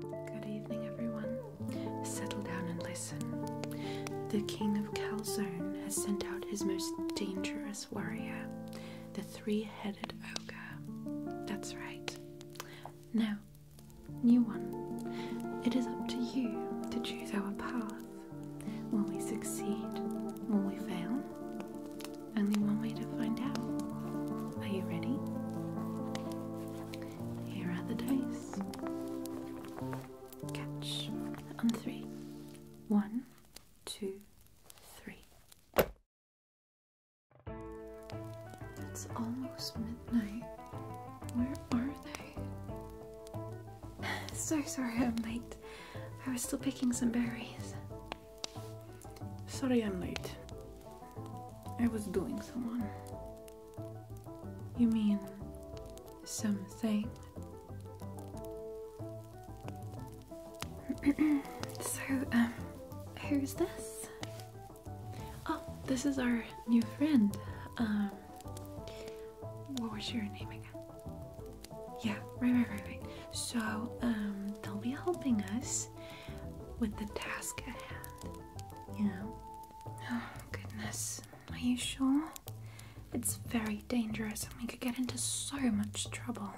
Good evening, everyone. Settle down and listen. The king of Calzone has sent out his most dangerous warrior, the three headed ogre. That's right. Now, new one. It is up to you to choose our path. Will we succeed? Will we fail? Only one way to find out. Are you ready? Here are the dice. Catch on three. One, two, three. It's almost midnight. Where are they? so sorry I'm late. I was still picking some berries. Sorry I'm late. I was doing someone. You mean something? so, um, who's this? Oh, this is our new friend. Um, what was your name again? Yeah, right, right, right, right. So, um, they'll be helping us with the task at hand. You know? Oh, goodness. Are you sure? It's very dangerous and we could get into so much trouble.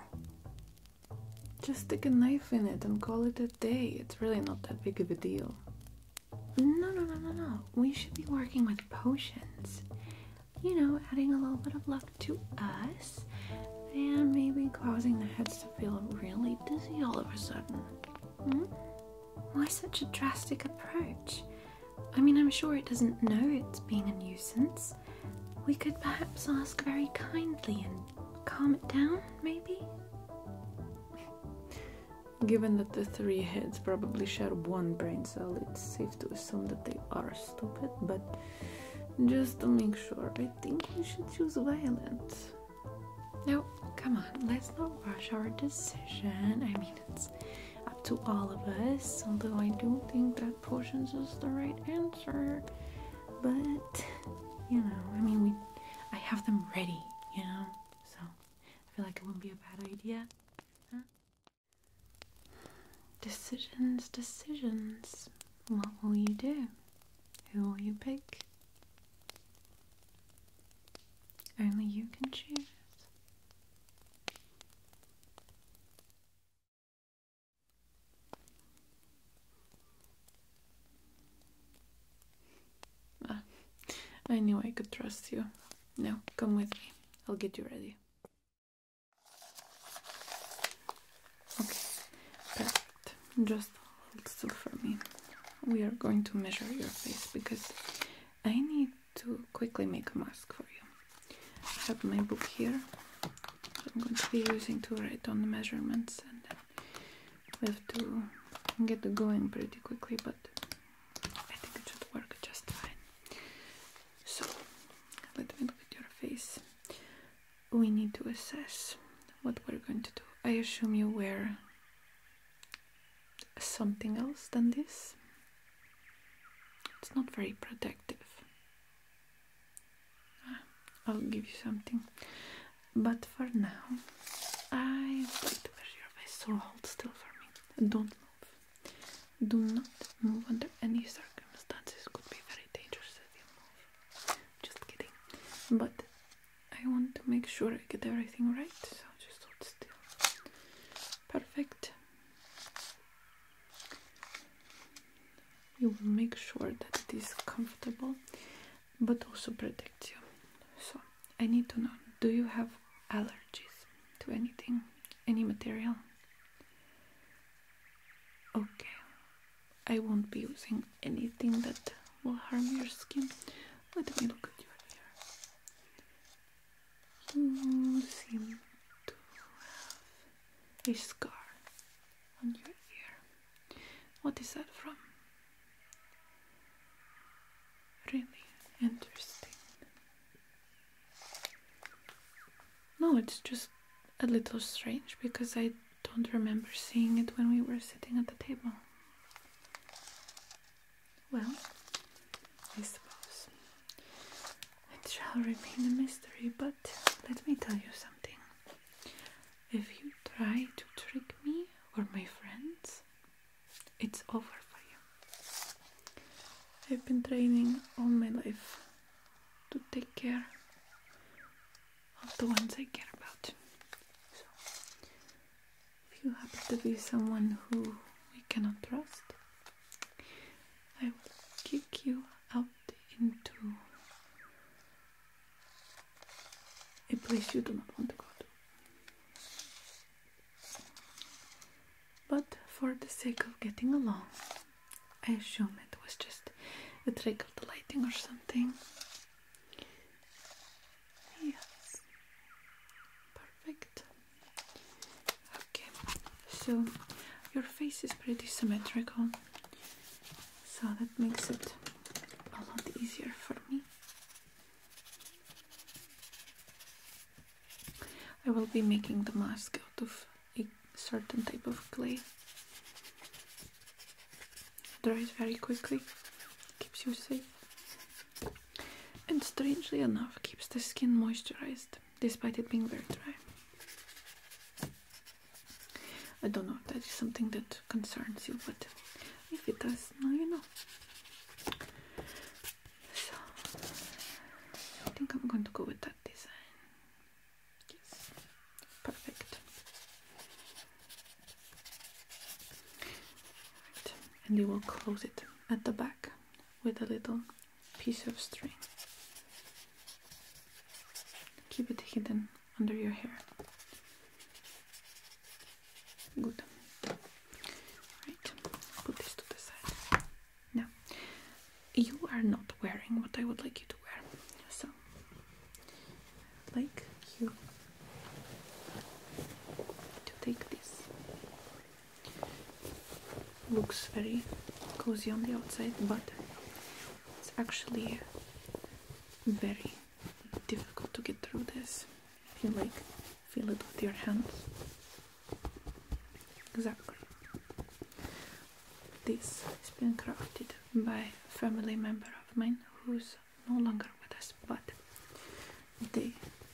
Just stick a knife in it and call it a day. It's really not that big of a deal. No, no, no, no, no. We should be working with potions. You know, adding a little bit of luck to us and maybe causing the heads to feel really dizzy all of a sudden. Hmm? Why such a drastic approach? I mean, I'm sure it doesn't know it's being a nuisance. We could perhaps ask very kindly and calm it down, maybe? Given that the three heads probably share one brain cell, it's safe to assume that they are stupid, but just to make sure, I think we should use violence. No, come on, let's not rush our decision. I mean, it's up to all of us, although I do not think that potions is the right answer. But, you know, I mean, we, I have them ready, you know? So, I feel like it wouldn't be a bad idea. Decisions, decisions. What will you do? Who will you pick? Only you can choose. Ah, I knew I could trust you. Now, come with me. I'll get you ready. Okay, perfect. Just hold still for me. We are going to measure your face because I need to quickly make a mask for you. I have my book here. I'm going to be using to write on the measurements and then we have to get going pretty quickly, but I think it should work just fine. So, let me look at your face we need to assess what we're going to do. I assume you wear something else than this. It's not very protective. Ah, I'll give you something. But for now, I would like to measure your waist, so hold still for me. Don't move. Do not move under any circumstances. Could be very dangerous if move. Just kidding. But I want to make sure I get everything right, so just hold still. Perfect. You will make sure that it is comfortable but also protects you. So, I need to know do you have allergies to anything? Any material? Okay, I won't be using anything that will harm your skin. Let me look at your hair. You seem to have a scar on your ear. What is that from? Really interesting. No, it's just a little strange because I don't remember seeing it when we were sitting at the table. Well, I suppose it shall remain a mystery, but let me tell you something. If you try to trick me or my friends, it's over for you. I've been training all my life to take care of the ones I care about. So, if you happen to be someone who we cannot trust, I will kick you out into a place you do not want to go to. But for the sake of getting along, I assume it was just a trick of the lighting or something. Yes. Perfect. Okay, so your face is pretty symmetrical, so that makes it a lot easier for me. I will be making the mask out of a certain type of clay. Dries very quickly, keeps you safe, and strangely enough, keeps the skin moisturized despite it being very dry. I don't know, if that is something that concerns you, but if it does, now you know. So, I think I'm going to go with that design. Perfect. And you will close it at the back with a little piece of string. Keep it hidden under your hair. Good. Right. Put this to the side. Now, you are not wearing what I would like you to wear. So, I'd like you to take this. Looks very cozy on the outside, but it's actually very difficult to get through this. If you like, feel it with your hands. Exactly this has been crafted by a family member of mine who's no longer with us, but they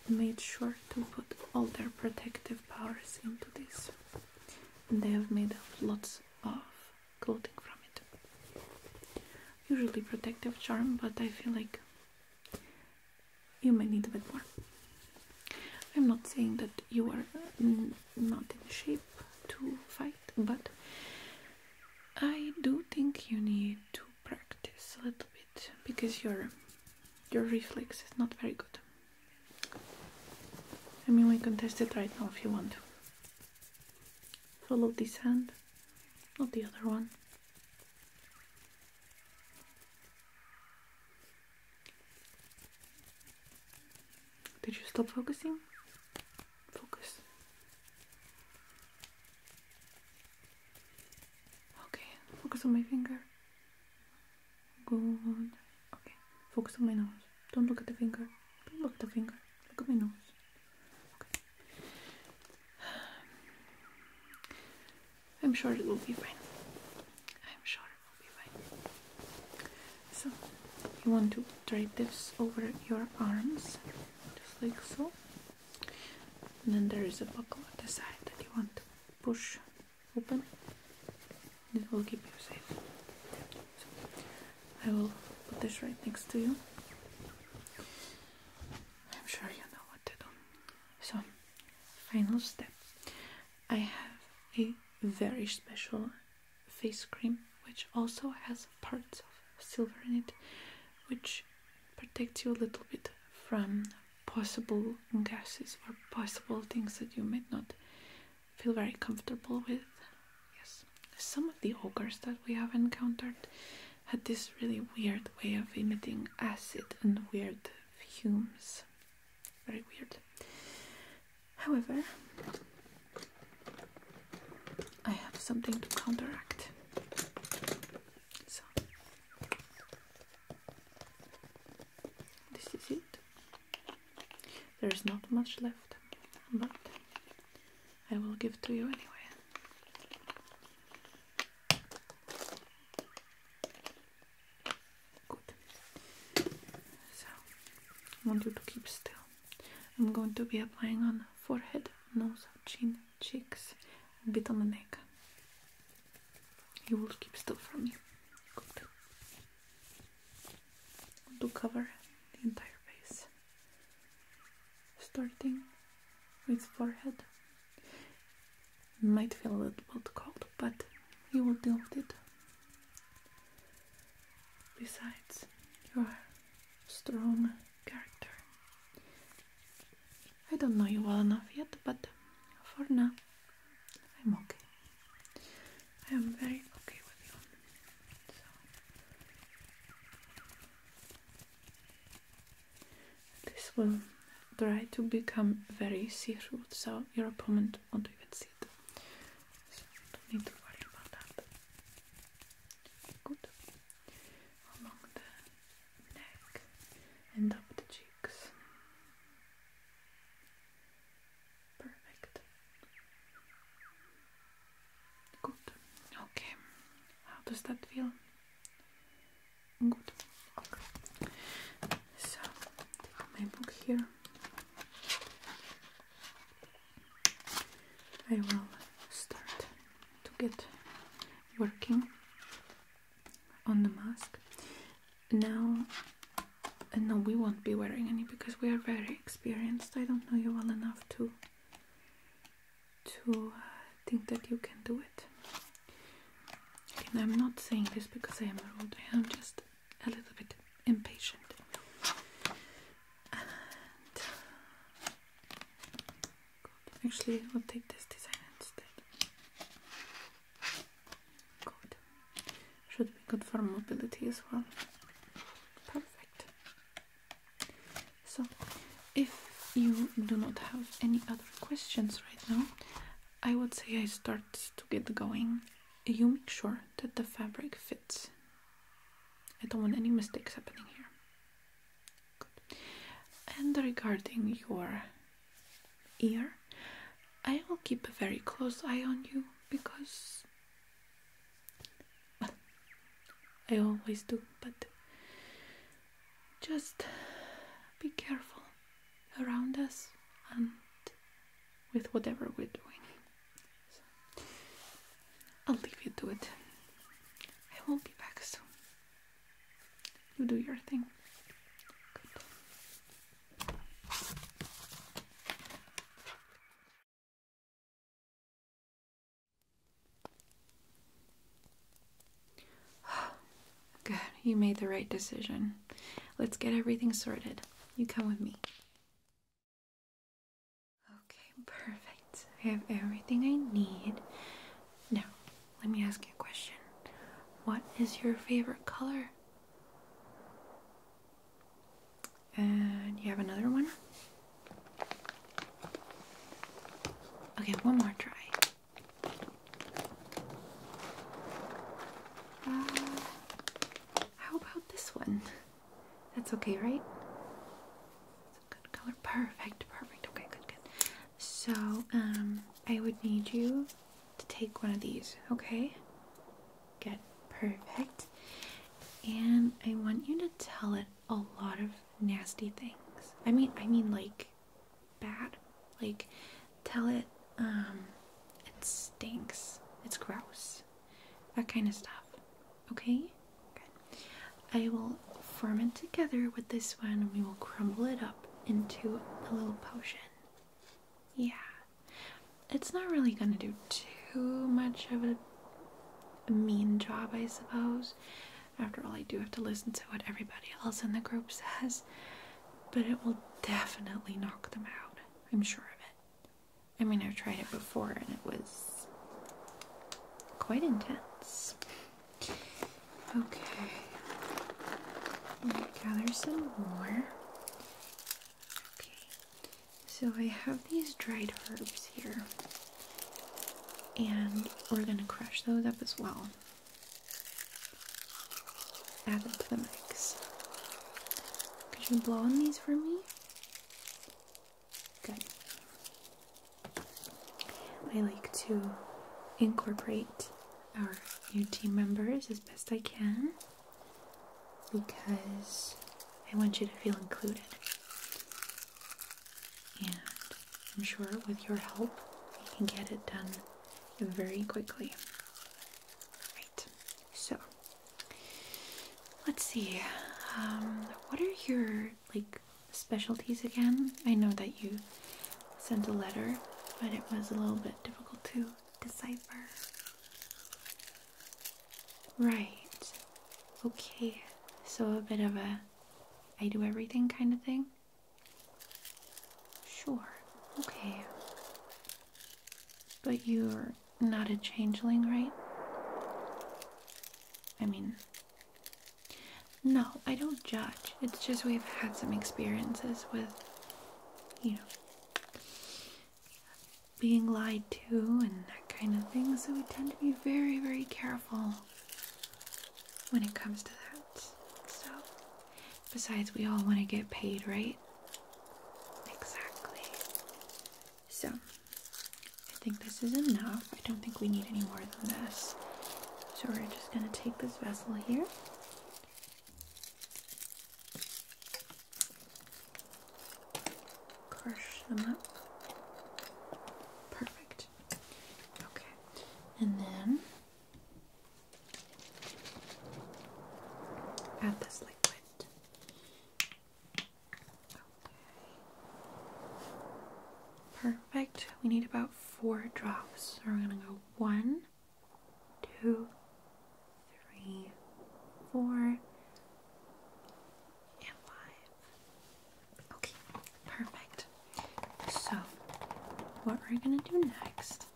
made sure to put all their protective powers into this. And they have made lots of clothing from it. Usually protective charm, but I feel like you may need a bit more. I'm not saying that you are mm, not in shape to fight, but I do think you need to practice a little bit because your your reflex is not very good. I mean, we can test it right now if you want to. Follow this hand, not the other one. Did you stop focusing? Focus. Okay, focus on my finger. Good. Okay, focus on my nose. Don't look at the finger. Don't look at the finger. Look at my nose. Okay. I'm sure it will be fine. I'm sure. So you want to drape this over your arms, just like so. And then there is a buckle at the side that you want to push open. It will keep you safe. So I will put this right next to you. I'm sure you know what to do. So final step. I have a very special face cream which also has parts of silver in it which protects you a little bit from possible gases or possible things that you might not feel very comfortable with. Yes, some of the ogres that we have encountered had this really weird way of emitting acid and weird fumes. Very weird. However, I have something to counteract. So, this is it. There is not much left, but I will give to you anyway. Good. So, I want you to keep still. I'm going to be applying on forehead, nose, chin, cheeks, a bit on the neck. You will keep still for me. Good. To cover the entire face. Starting with forehead. Might feel a little bit cold, but you will deal with it. Besides, you are a strong character. I don't know you well enough yet, but for now, I'm okay. I am very okay with you. So. This will try to become very seafood, so your opponent won't even see it. don't need to worry about that. Good. Along the neck and up the cheeks. Perfect. Good. Okay. How does that feel? Good. Okay. So, my book here. I will start to get working on the mask. Now, uh, no, we won't be wearing any because we are very experienced. I don't know you well enough to to uh, think that you can do it. And I'm not saying this because I am rude. I am just a little bit impatient. Actually, we'll take this design instead. Good. Should be good for mobility as well. Perfect. So, if you do not have any other questions right now, I would say I start to get going you make sure that the fabric fits. I don't want any mistakes happening here. And regarding your ear, I will keep a very close eye on you because I always do, but just be careful around us and with whatever we're doing. I'll leave you to it. I will not be back soon. You do your thing. Good. Good, you made the right decision. Let's get everything sorted. You come with me. Okay, perfect. I have everything I need. Now, let me ask you a question. What is your favorite color? And uh, you have another one? Okay, one more try. Uh, how about this one? That's okay, right? It's a good color. Perfect, perfect. Okay, good, good. So, um, I would need you to take one of these, okay? Good, perfect. And I want you to tell it a lot of nasty things. I mean, I mean, like, bad. Like, tell it, um, it stinks, it's gross, that kind of stuff. Okay? Good. I will form it together with this one and we will crumble it up into a little potion. Yeah. It's not really gonna do too much of a, a mean job, I suppose. After all, I do have to listen to what everybody else in the group says but it will definitely knock them out. I'm sure of it. I mean, I've tried it before and it was quite intense. Okay, gather some more. Okay, so I have these dried herbs here, and we're gonna crush those up as well. Add them to the mix. Could you blow on these for me? Good. I like to incorporate our new team members as best I can because I want you to feel included. And I'm sure with your help, we can get it done very quickly. Right. So, let's see. Um, what are your like specialties again? I know that you sent a letter, but it was a little bit difficult to decipher. Right. Okay. So a bit of a I do everything kind of thing. Sure, okay. But you're not a changeling, right? I mean, no, I don't judge. It's just we've had some experiences with, you know, being lied to and that kind of thing, so we tend to be very, very careful when it comes to that. So, Besides, we all want to get paid, right? Exactly. So, I think this is enough. I don't think we need any more than this. So, we're just going to take this vessel here. Crush them up. Perfect. Okay. And then Add this liquid. Okay. Perfect. We need about four drops. So we're gonna go one, two, three, four, and five. Okay, perfect. So, what we're gonna do next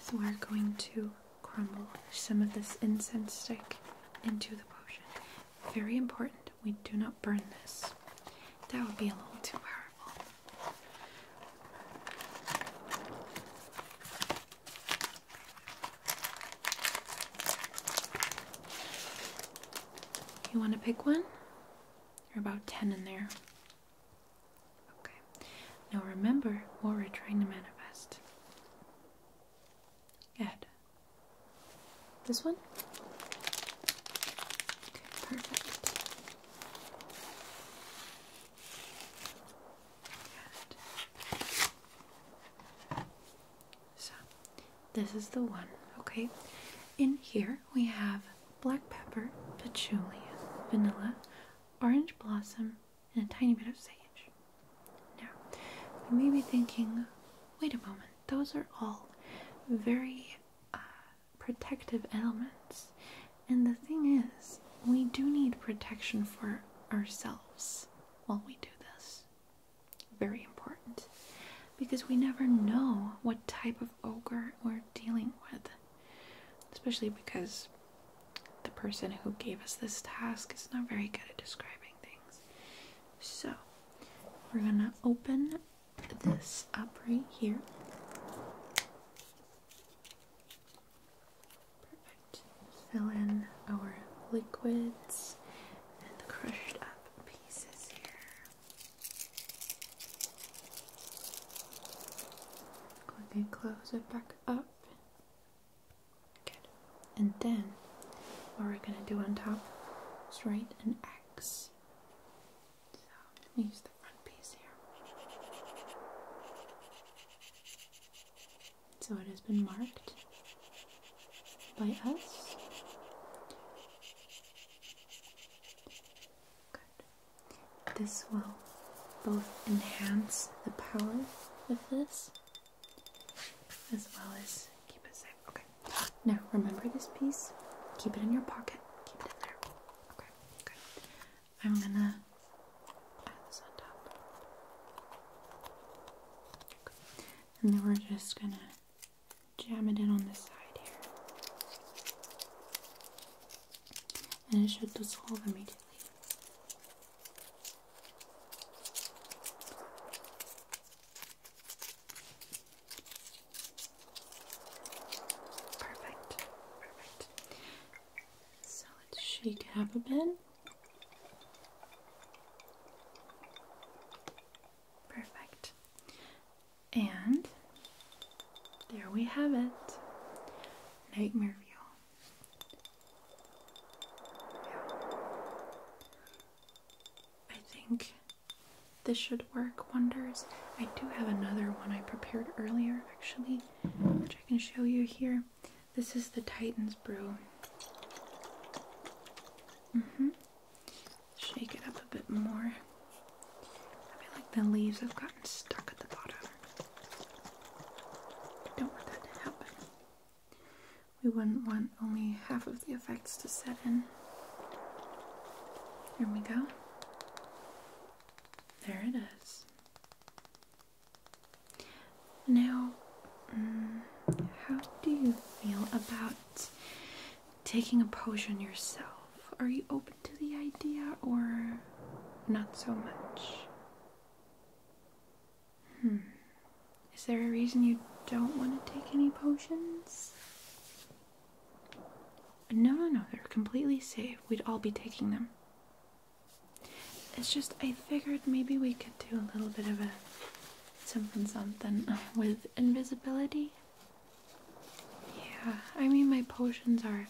so we're going to crumble some of this incense stick into the potion. Very important, we do not burn this. That would be a little too powerful. You want to pick one? There are about 10 in there. Okay. Now remember what we're trying to manifest. Good. This one? perfect. So, this is the one, okay? In here, we have black pepper, patchouli, vanilla, orange blossom, and a tiny bit of sage. Now, you may be thinking, wait a moment, those are all very uh, protective elements. And the thing is, we do need protection for ourselves while we do this. Very important. Because we never know what type of ogre we're dealing with especially because the person who gave us this task is not very good at describing things. So, we're gonna open this up right here. Fill in our liquids and the crushed up pieces here. Click and close it back up. And then what we're gonna do on top is write an X. So use the front piece here. So it has been marked by us. Good. This will both enhance the power of this as well as keep it safe. Okay. Now remember this piece. Keep it in your pocket. Keep it in there. Okay, good. I'm gonna add this on top. And then we're just gonna jam it in on the side here and it should dissolve immediately. Perfect, perfect. So let's shake it a bit. Perfect. And there we have it. Nightmare View. I think this should work wonders. I do have another one I prepared earlier actually, which I can show you here. This is the Titan's Brew. Mm-hmm shake it up a bit more. I feel like the leaves have gotten stuck at the bottom. don't want that to happen. We wouldn't want only half of the effects to set in. Here we go. There it is. Now, mm, how do you feel about taking a potion yourself? Are you open to the idea or not so much? Hmm. Is there a reason you don't want to take any potions? No, no, no, they're completely safe. We'd all be taking them. It's just I figured maybe we could do a little bit of a something something with invisibility. Yeah, I mean, my potions are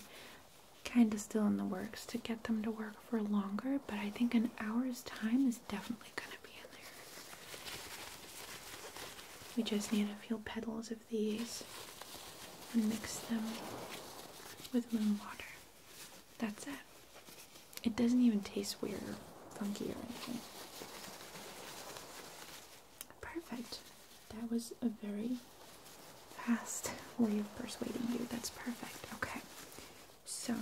kind of still in the works to get them to work for longer, but I think an hour's time is definitely going to be in there. We just need a few petals of these and mix them with moon water. That's it. It doesn't even taste weird or funky or anything. Perfect. That was a very fast way of persuading you. That's perfect. Okay. So,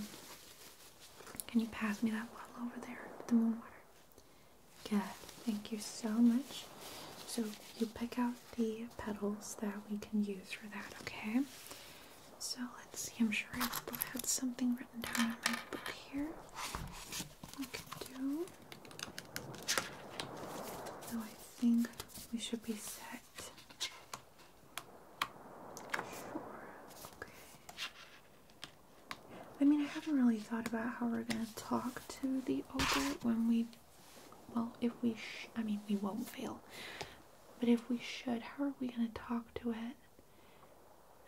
can you pass me that bottle over there, the moon water? Good. Thank you so much. So, you pick out the petals that we can use for that, okay? So, let's see. I'm sure I had something written down in my book here we can do. So I think we should be set. Sure. Okay. I mean, I haven't really thought about how we're gonna talk to the ogre when we. Well, if we. Sh I mean, we won't fail. But if we should, how are we gonna talk to it?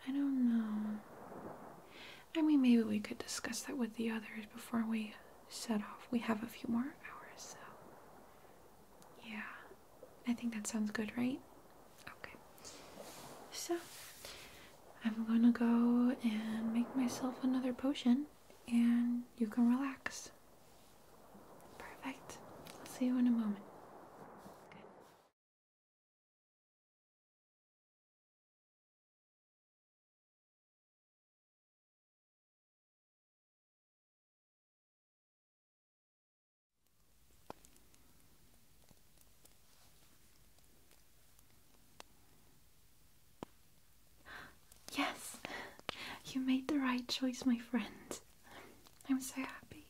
I don't know. I mean, maybe we could discuss that with the others before we set off. We have a few more hours, so. Yeah, I think that sounds good, right? Okay. So, I'm gonna go and make myself another potion, and you can relax. Perfect. I'll see you in a moment. Yes, you made the right choice, my friend. I'm so happy.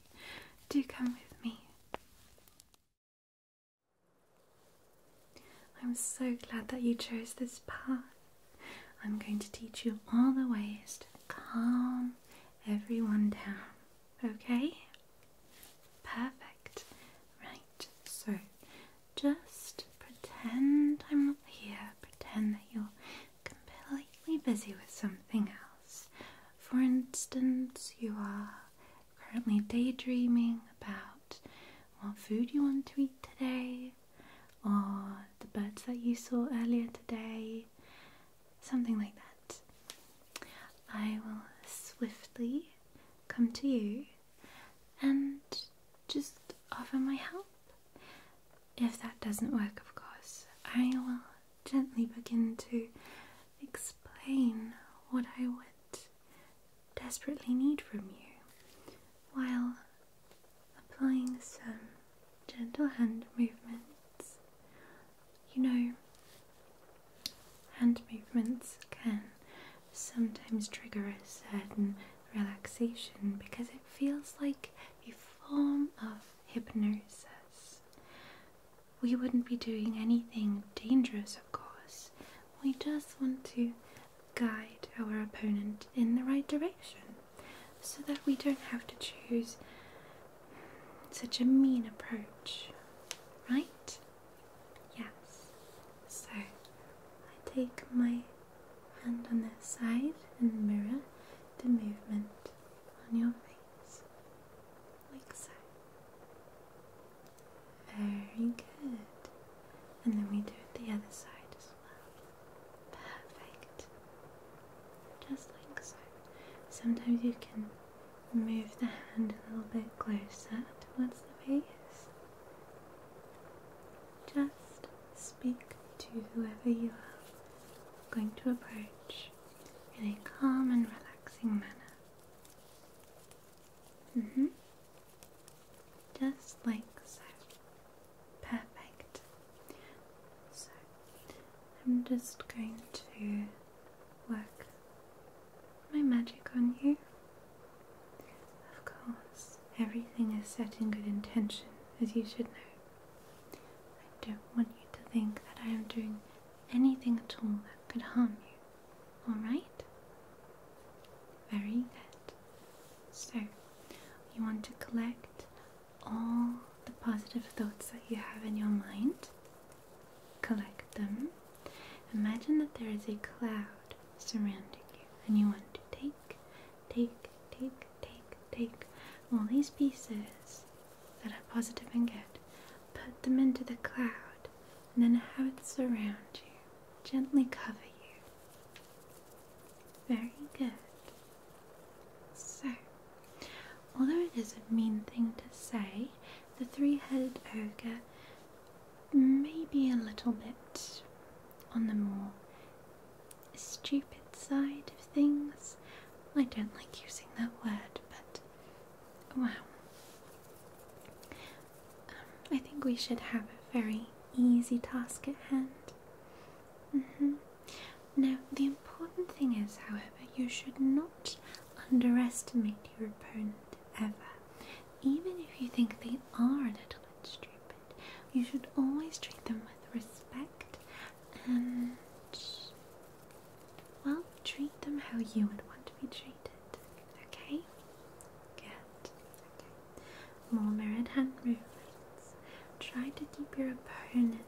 Do come with me. I'm so glad that you chose this path. I'm going to teach you all the ways to calm everyone down, okay? Perfect. Right, so just pretend I'm not here, pretend that you're completely busy with something else. For instance, you are currently daydreaming about what food you want to eat today, or the birds that you saw earlier today, something like that, I will swiftly come to you and just offer my help. If that doesn't work, of course, I will gently begin to explain what I would desperately need from you while applying some gentle hand movements. You know, hand movements can sometimes trigger a certain relaxation because it feels like a form of hypnosis we wouldn't be doing anything dangerous, of course. We just want to guide our opponent in the right direction so that we don't have to choose such a mean approach, right? Yes. So I take my hand on this side and mirror the movement on your face like so. Very good. And then we do it the other side as well. Perfect. Just like so. Sometimes you can move the hand a little bit closer towards the face. Just speak to whoever you are going to approach in a calm and relaxing manner hmm. Just like so. Perfect. So, I'm just going to work my magic on you. Of course, everything is set in good intention, as you should know. I don't want you to think that I am doing anything at all that could harm you. All right? Very good. So, you want to collect all the positive thoughts that you have in your mind. Collect them. Imagine that there is a cloud surrounding you, and you want to take, take, take, take, take all these pieces that are positive and good, put them into the cloud, and then have it surround you, gently cover you. Very good. So, although it is a mean thing to say, the three headed ogre may be a little bit on the more stupid side of things. I don't like using that word, but Wow. Um, I think we should have a very easy task at hand. Mm-hmm. Now, the important thing is, however, you should not underestimate your opponent ever. Even if you think they are a little bit stupid, you should always treat them with respect and, well, treat them how you would want to be treated. Okay? Good. Okay. More mirrored hand movements. Try to keep your opponent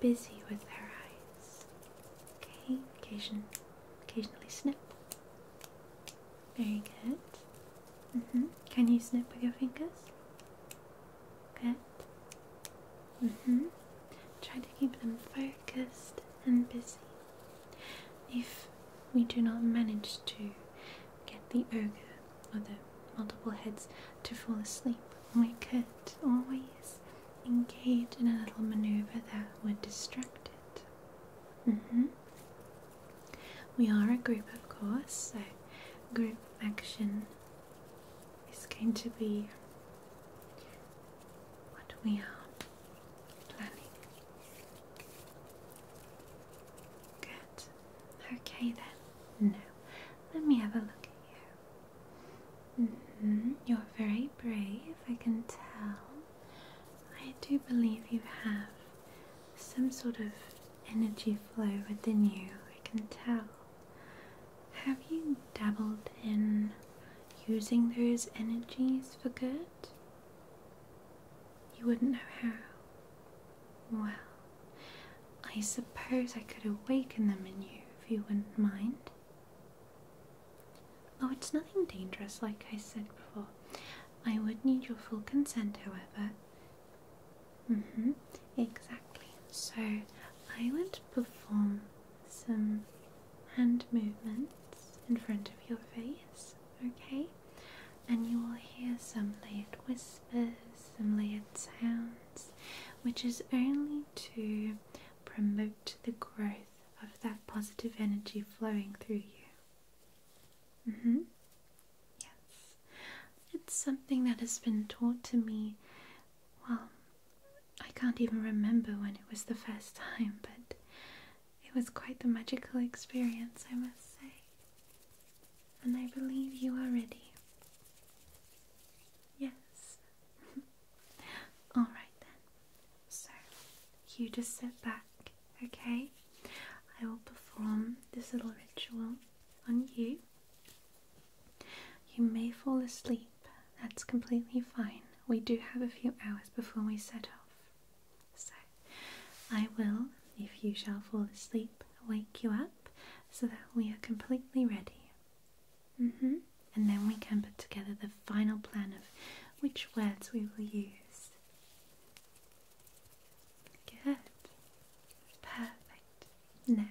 busy with their eyes. Okay? Occasion, occasionally snip. Very good. -hmm. Can you snip with your fingers? Good. hmm Try to keep them focused and busy. If we do not manage to get the ogre or the multiple heads to fall asleep, we could always engage in a little maneuver that would distract it. Mm-hmm. We are a group, of course, so group action is going to be what we are planning. Good. Okay then. Now, let me have a look at you. Mm-hmm. You're very brave, I can tell. I do believe you have some sort of energy flow within you, I can tell. Have you dabbled in using those energies for good? You wouldn't know how. Well, I suppose I could awaken them in you if you wouldn't mind. Oh, it's nothing dangerous, like I said before. I would need your full consent, however. Mm hmm, exactly. So, I would perform some hand movements in front of your face, okay? And you will hear some layered whispers, some layered sounds, which is only to promote the growth of that positive energy flowing through you. Mm hmm. Yes. It's something that has been taught to me, well, I can't even remember when it was the first time, but it was quite the magical experience, I must say. And I believe you are ready. Yes. All right then. So, you just sit back, okay? I will perform this little ritual on you. You may fall asleep that's completely fine. We do have a few hours before we set off. So I will, if you shall fall asleep, wake you up so that we are completely ready. Mm-hmm. And then we can put together the final plan of which words we will use. Good. Perfect. Now,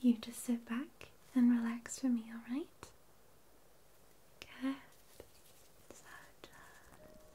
you just sit back and relax for me, alright? cat Sacha.